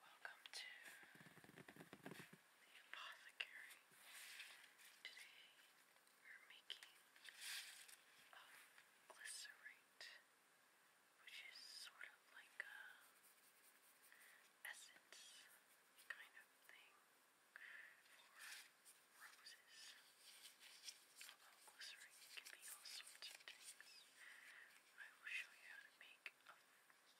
Welcome to the apothecary. Today we're making a glycerate, which is sort of like a essence kind of thing for roses. Although glycerin can be all sorts of things. I will show you how to make a,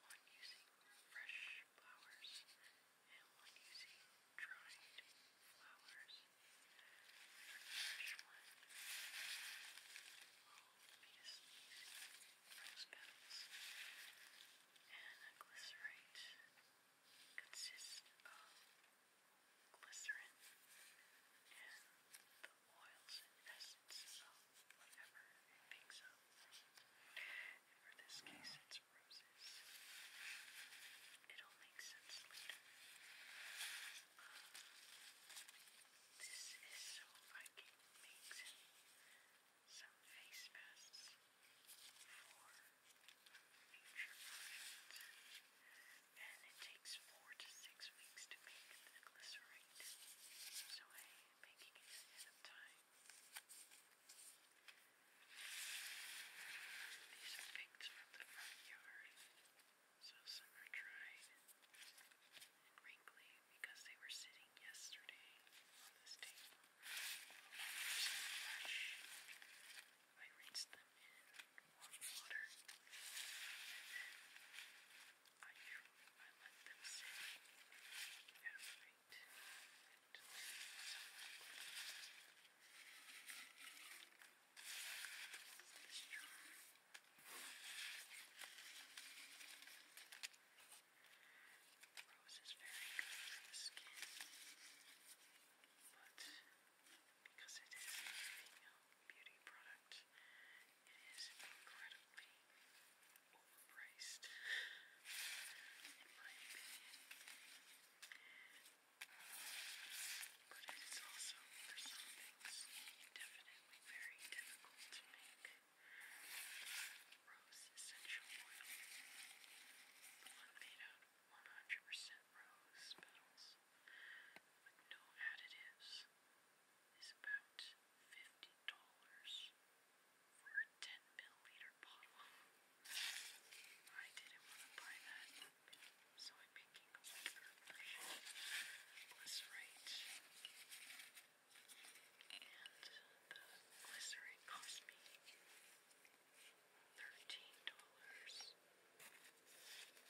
one using fresh flowers and one using dried flowers. For the fresh one, I'll be just using rose petals and a glycerate. And consists of glycerin and the oils and essence of whatever it picks up. And for this case, it's roses. It'll make sense later. Um, this is so I can make some face masks for picture product. And it takes four to six weeks to make the glycerate. So making it ahead time. These are picked from the front yard. So some are dried and wrinkly because they were sitting yesterday on this table. I rinsed them in warm water and then I, I let them sit and wait until this jar. Rose is very good for the skin, but because it is a female beauty product, it is incredibly overpriced, in my opinion. But it is also, for some things, definitely very difficult to make. Rose essential oil, 100% rose petals with no additives is about $50 for a 10 milliliter bottle. I didn't want to buy that, so I'm picking a older version. And the glycerate cost me thirteen dollars.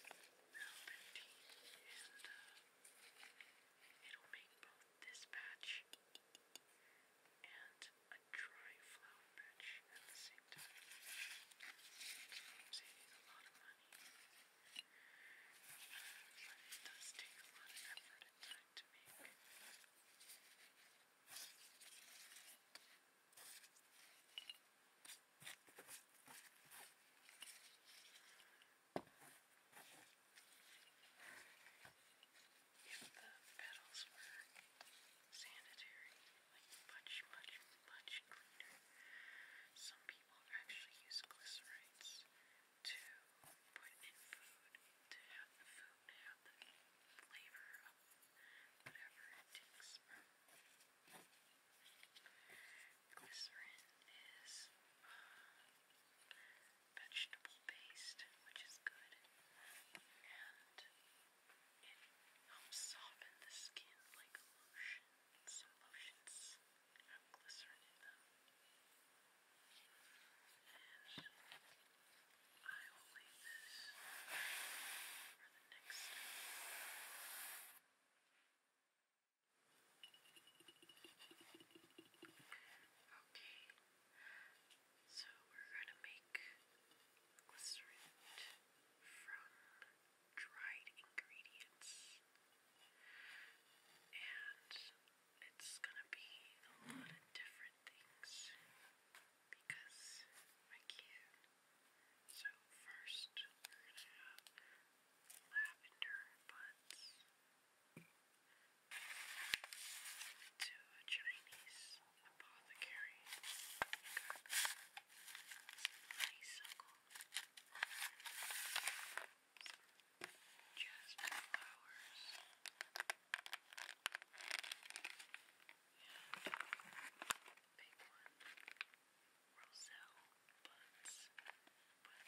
No, and uh, it'll make both this batch and a dry flower batch at the same time. So saving a lot of money, but it does take a lot of effort and time to make. If the petals were sanitary, like much, much, much cleaner, some people actually use glycerites to put in food to have the food have the flavor of whatever it takes. Glycerin is vegetable based, which is good, and it helps soften the skin like a lotion. Some lotions have glycerin in them. And I will leave this next Okay, so we're going to make glycerin from dried ingredients, and it's going to be a lot of different things because I can so first we're going to have lavender buds to a Chinese apothecary. Got some honeysuckle, some jasmine flowers, and that big one will sell buds, but you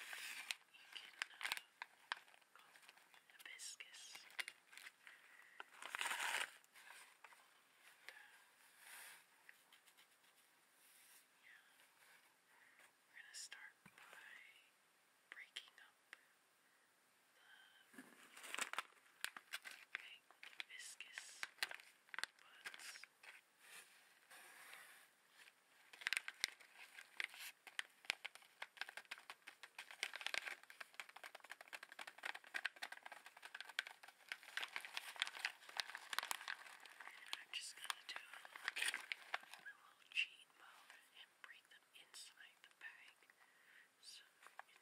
can uh, call them hibiscus. And, uh, yeah. We're going to start by breaking up the. Okay, like viscous buds. And I'm just gonna do a little, a little cheat mode and bring them inside the bag. So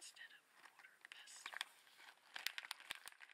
instead of mortar pestle,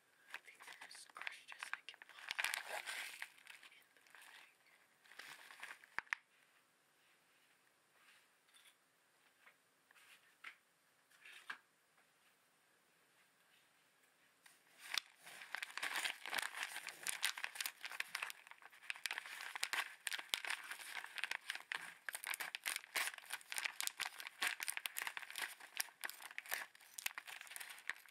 I think they're as crushed as I can possibly in the bag. I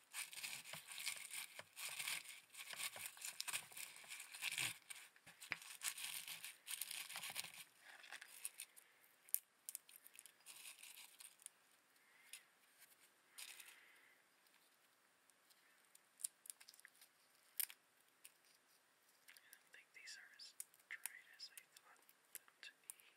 I don't think these are as dried as I thought them to be.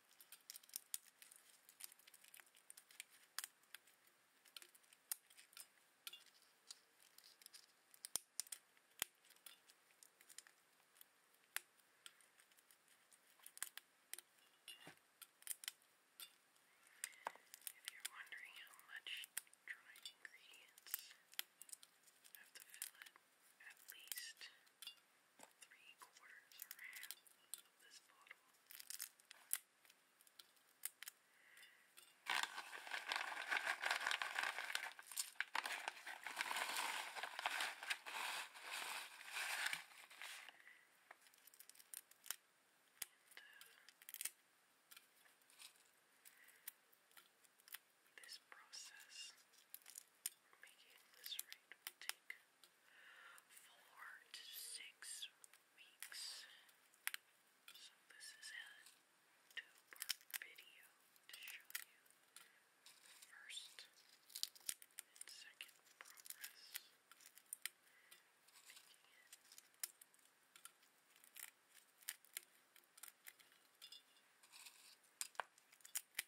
If you're wondering how much dried ingredients have to fill it, at least three quarters or half of this bottle. And, uh, this process making this rate will take four to six weeks. So this is a two-part video to show you the first and second progress. Making it. Now,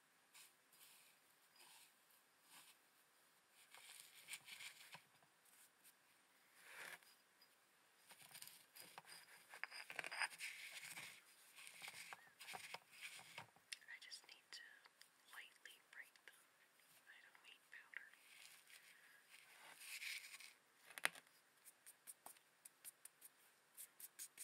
I just need to lightly break them. I don't need powder. Okay.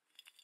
Or jasmine.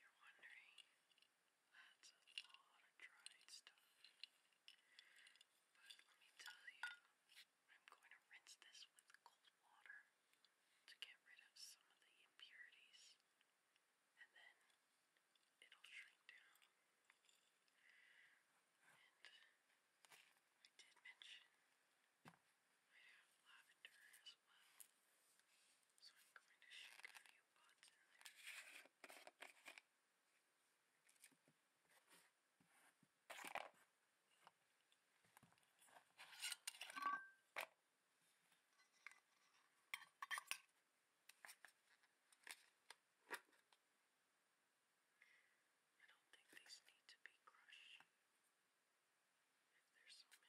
You're wondering, that's a lot of dried stuff. But let me tell you, I'm going to rinse this with cold water to get rid of some of the impurities, and then it'll shrink down. I did mention might have lavender as well. So I'm going to shake a few pots in there. I don't think these need to be crushed. There's so many.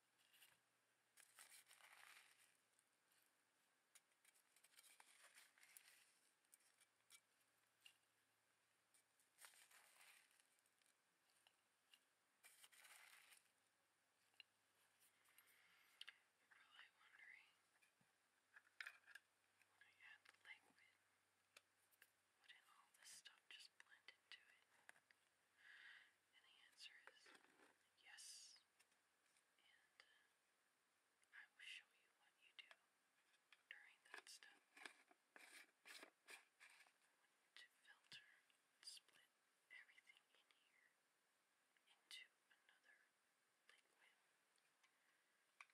You're probably wondering when I add the liquid, what did all this stuff just blend into it? And the answer is yes. And uh, I will show you what you do during that step. To filter split everything in here into another liquid. Uh,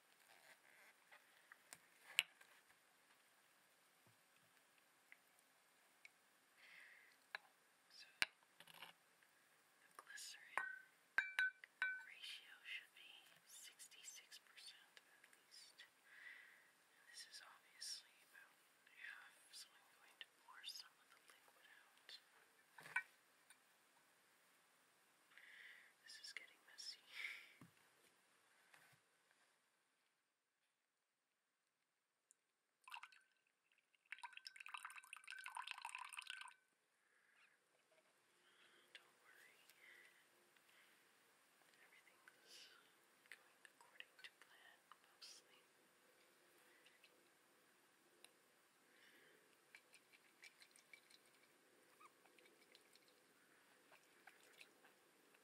So the glycerin ratio should be 66% at least. And this is obviously about half, so I'm going to pour some of the liquid out. This is getting messy. Don't worry, everything's going according to plan mostly.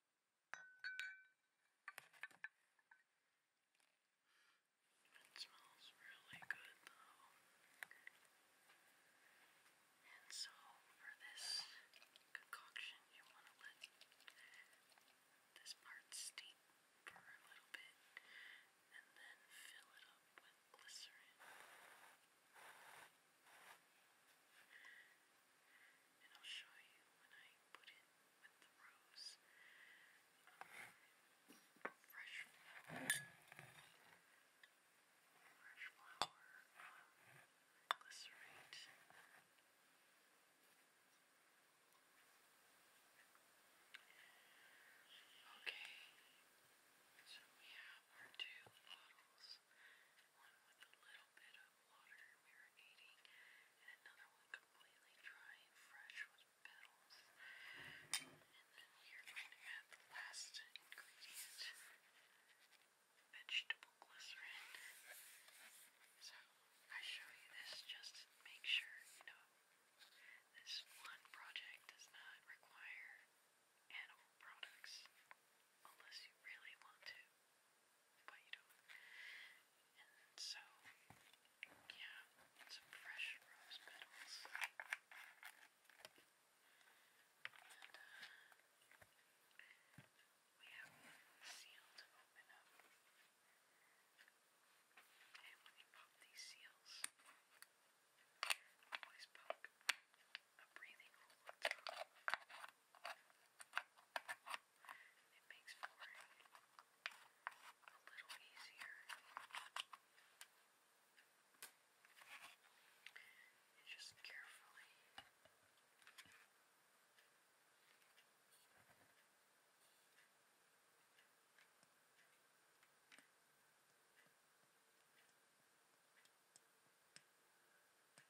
It smells really good though. And so for this concoction you want to let this part steep for a little bit and then fill it up with glycerin and I'll show you when I put it with the rose um, fresh fresh flower um, glycerate okay so we have our two bottles one with a little bit water marinating, and another one completely dry and fresh with petals. And then we are going to add the last ingredient, vegetable glycerin. So I show you this just to make sure you know this one project does not require animal products unless you really want to but you don't. And so, yeah, some fresh rose petals. And uh, we have a seal to open up. And when you pop these seals, always poke a breathing hole. It makes pouring a little easier. And just carefully let it marinate.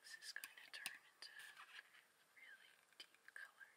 This is going to turn into really deep colored.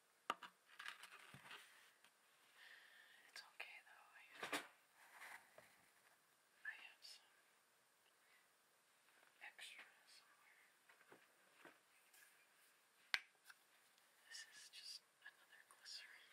It's okay though. I have, I have some extra somewhere. This is just another glycerin.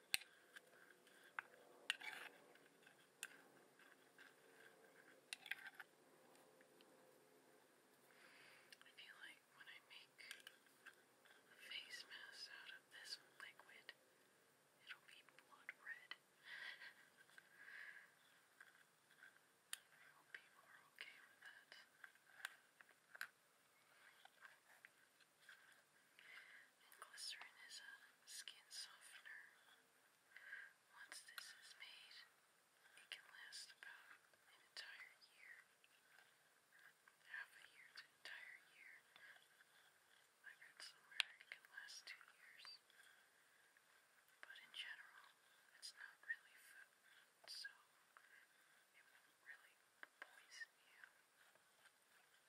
I feel like when I make a face mask out of this liquid, it'll be blood red. I hope people are okay with that glycerin is a skin softener. Once this is made, it can last about an entire year. Half a year to entire year. I read somewhere it can last two years. But in general, it's not really food, so it won't really poison you.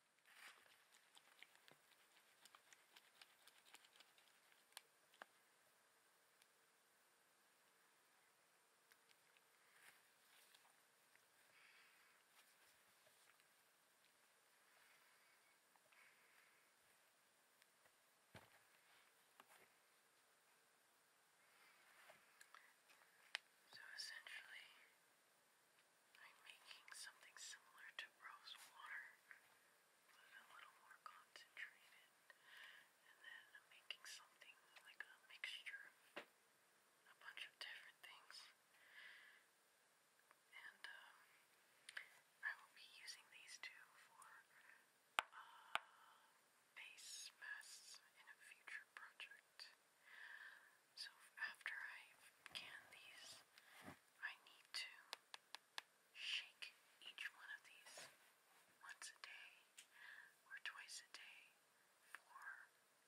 So essentially, I'm making something similar to rose water, but a little more concentrated. And then I'm making something like a mixture of a bunch of different things. And um, I will be using these two for uh, base masks in a future project. So after I've these, I need to shake each one of these once a day or twice a day for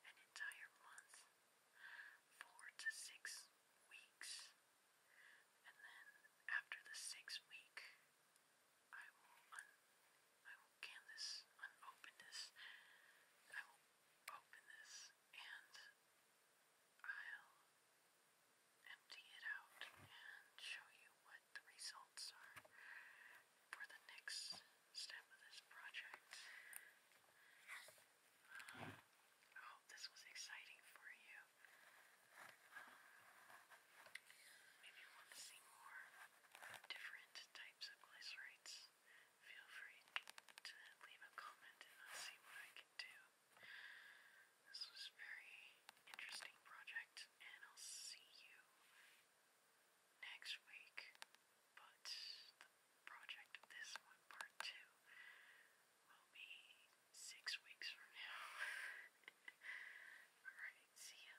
an entire month, four to six weeks. And then after the sixth week, I will un I will can this, unopen this, I will open this and I'll empty it out and show you what the results are for the next step of this project. I hope this was exciting for you. Um, you want to see more different types of glycerites feel free to leave a comment and see what I can do. This was very interesting project, and I'll see you next week. But the project of this one, part two, will be six weeks from now. Alright, see ya.